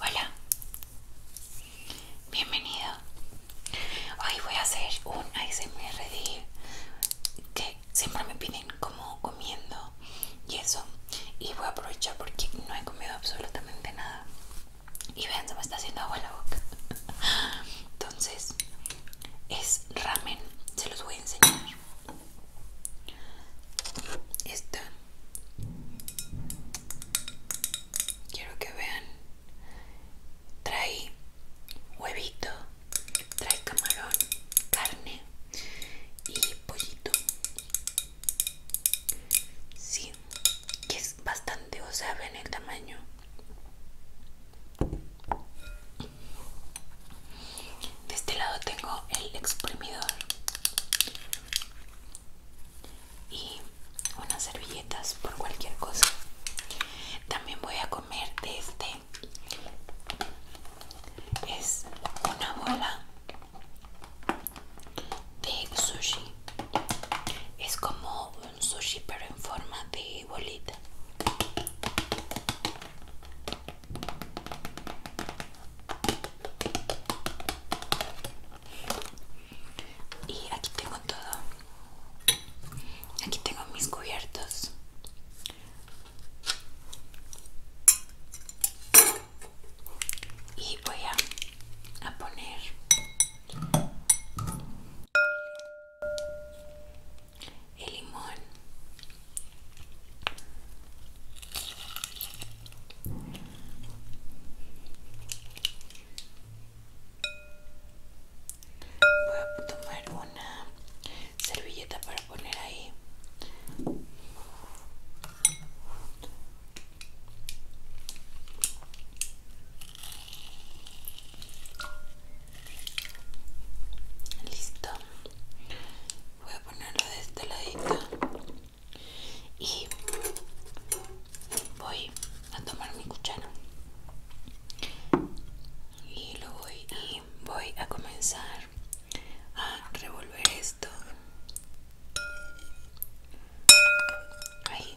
Hola, bienvenido. Hoy voy a hacer un ASMR que siempre me piden como comiendo y eso. Y voy a aprovechar porque no he comido absolutamente nada. Y vean, se me está haciendo agua la boca. Entonces, es ramen. Se los voy a enseñar. Esto Quiero que vean. Trae huevito, trae camarón, carne y pollito. Sí, que es bastante, o sea, ven el tamaño. De este lado tengo el exprimidor y unas servilletas por cualquier cosa. También voy a comer de este. Es una bola de sushi. Es como un sushi pero en forma de bolita y aquí tengo todo aquí tengo mis cubiertos y voy a, poner el limón Voy a tomar una servilleta para poner ahí. Listo. Voy a ponerlo de este ladito y voy a tomar mi cuchara y lo voy voy a comenzar a revolver esto ahí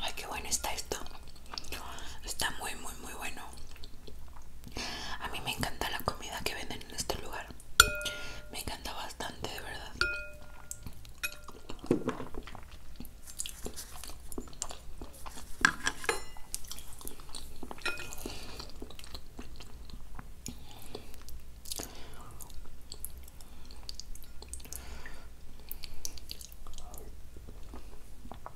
Ay, qué bueno está esto. Está muy, muy, muy bueno. A mí me encanta la comida que venden en este lugar. Me encanta bastante, de verdad.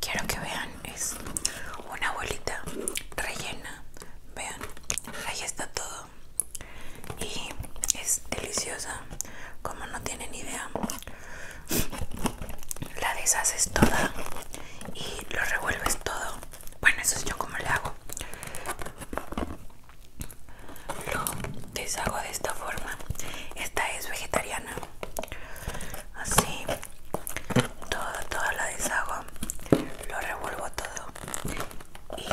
Quiero que vean, es una bolita rellena. Vean, ahí está todo. Y es deliciosa, como no tienen idea. La deshaces toda y lo revuelves todo. Bueno, eso es yo como le hago lo deshago de esta forma esta es vegetariana así toda toda la deshago lo revuelvo todo y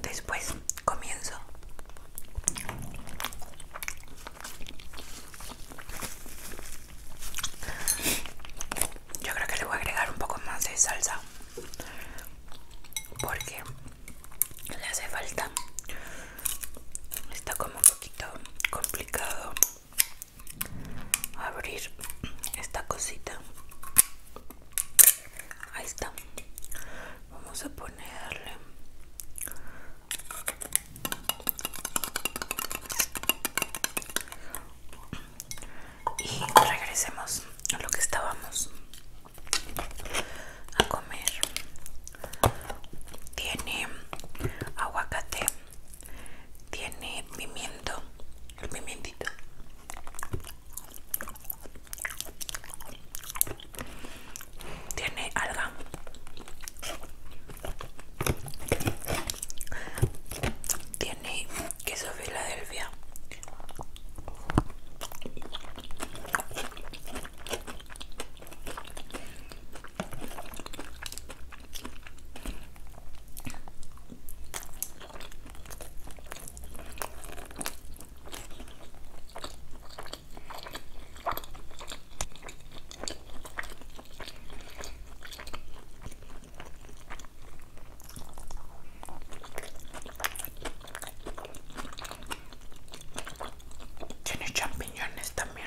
después comienzo yo creo que le voy a agregar un poco más de salsa porque le hace falta está como un poquito complicado abrir esta cosita ahí está vamos a ponerle y regresemos a lo que estábamos a comer tiene aguacate tiene pimiento el tiene alga tiene queso Filadelfia. Tiene champiñones también.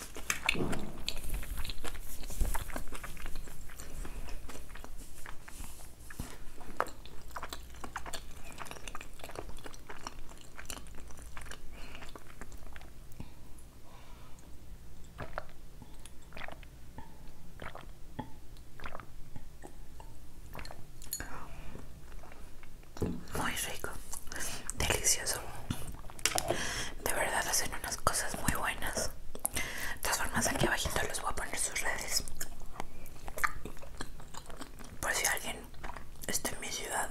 Muy rico, delicioso. De verdad hacen unas cosas muy buenas. De todas formas aquí abajito les voy a poner sus redes. Por si alguien está en mi ciudad.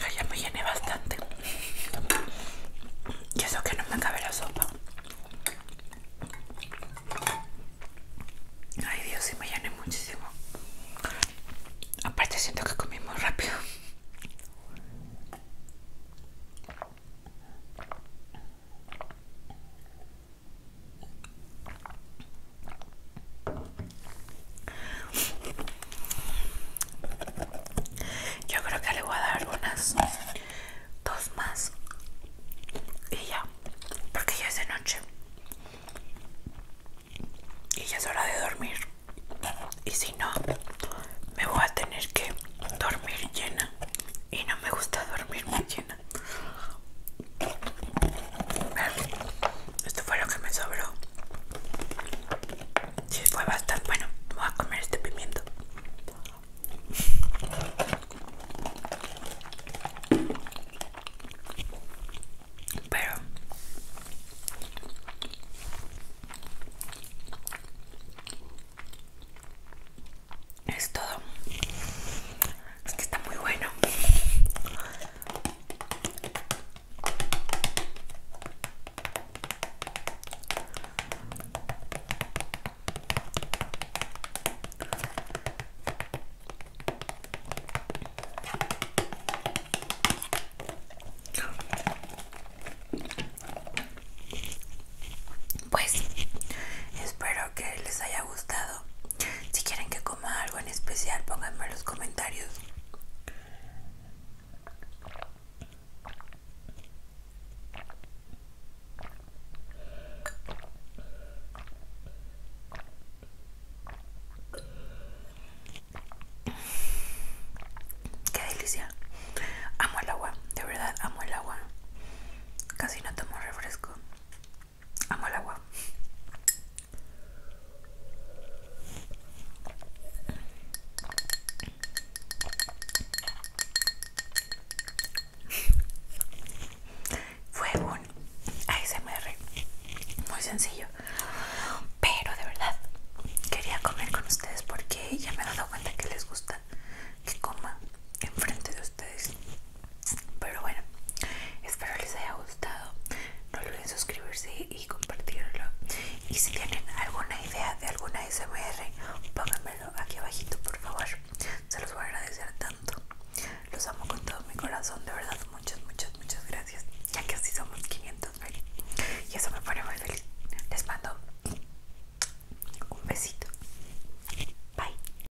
Ay, ya me llené bastante. Y eso que no me cabe la sopa. Ay Dios, sí me llené muchísimo. Aparte siento que comí muy rápido. Yo creo que le voy a dar unas dos más y ya, porque ya es de noche y ya es hora de dormir. Y si no, me voy a tener que dormir llena y no me gusta dormir muy llena. Esto fue lo que me sobró. Sí, fue bastante bueno. Voy a comer este pimiento. Pero es todo. que está muy bueno. Pues espero que les haya gustado si quieren que coma algo en especial, pónganme en los comentarios. Qué delicia. Amo el agua, de verdad amo el agua. Casi no tomo refresco. Amo el agua. Fue un ASMR muy sencillo, pero de verdad quería comer con ustedes porque ya me he dado cuenta que les gusta que coma enfrente de ustedes pero bueno, espero les haya gustado. No olviden suscribirse y compartirlo. Y si tienen alguna idea de alguna SMR, pónganmelo aquí abajito, por favor. Se los voy a agradecer tanto. Los amo con todo mi corazón, de verdad. Muchas, muchas, muchas gracias. Ya que así somos 500, mil Y eso me pone muy feliz. Les mando un besito. Bye.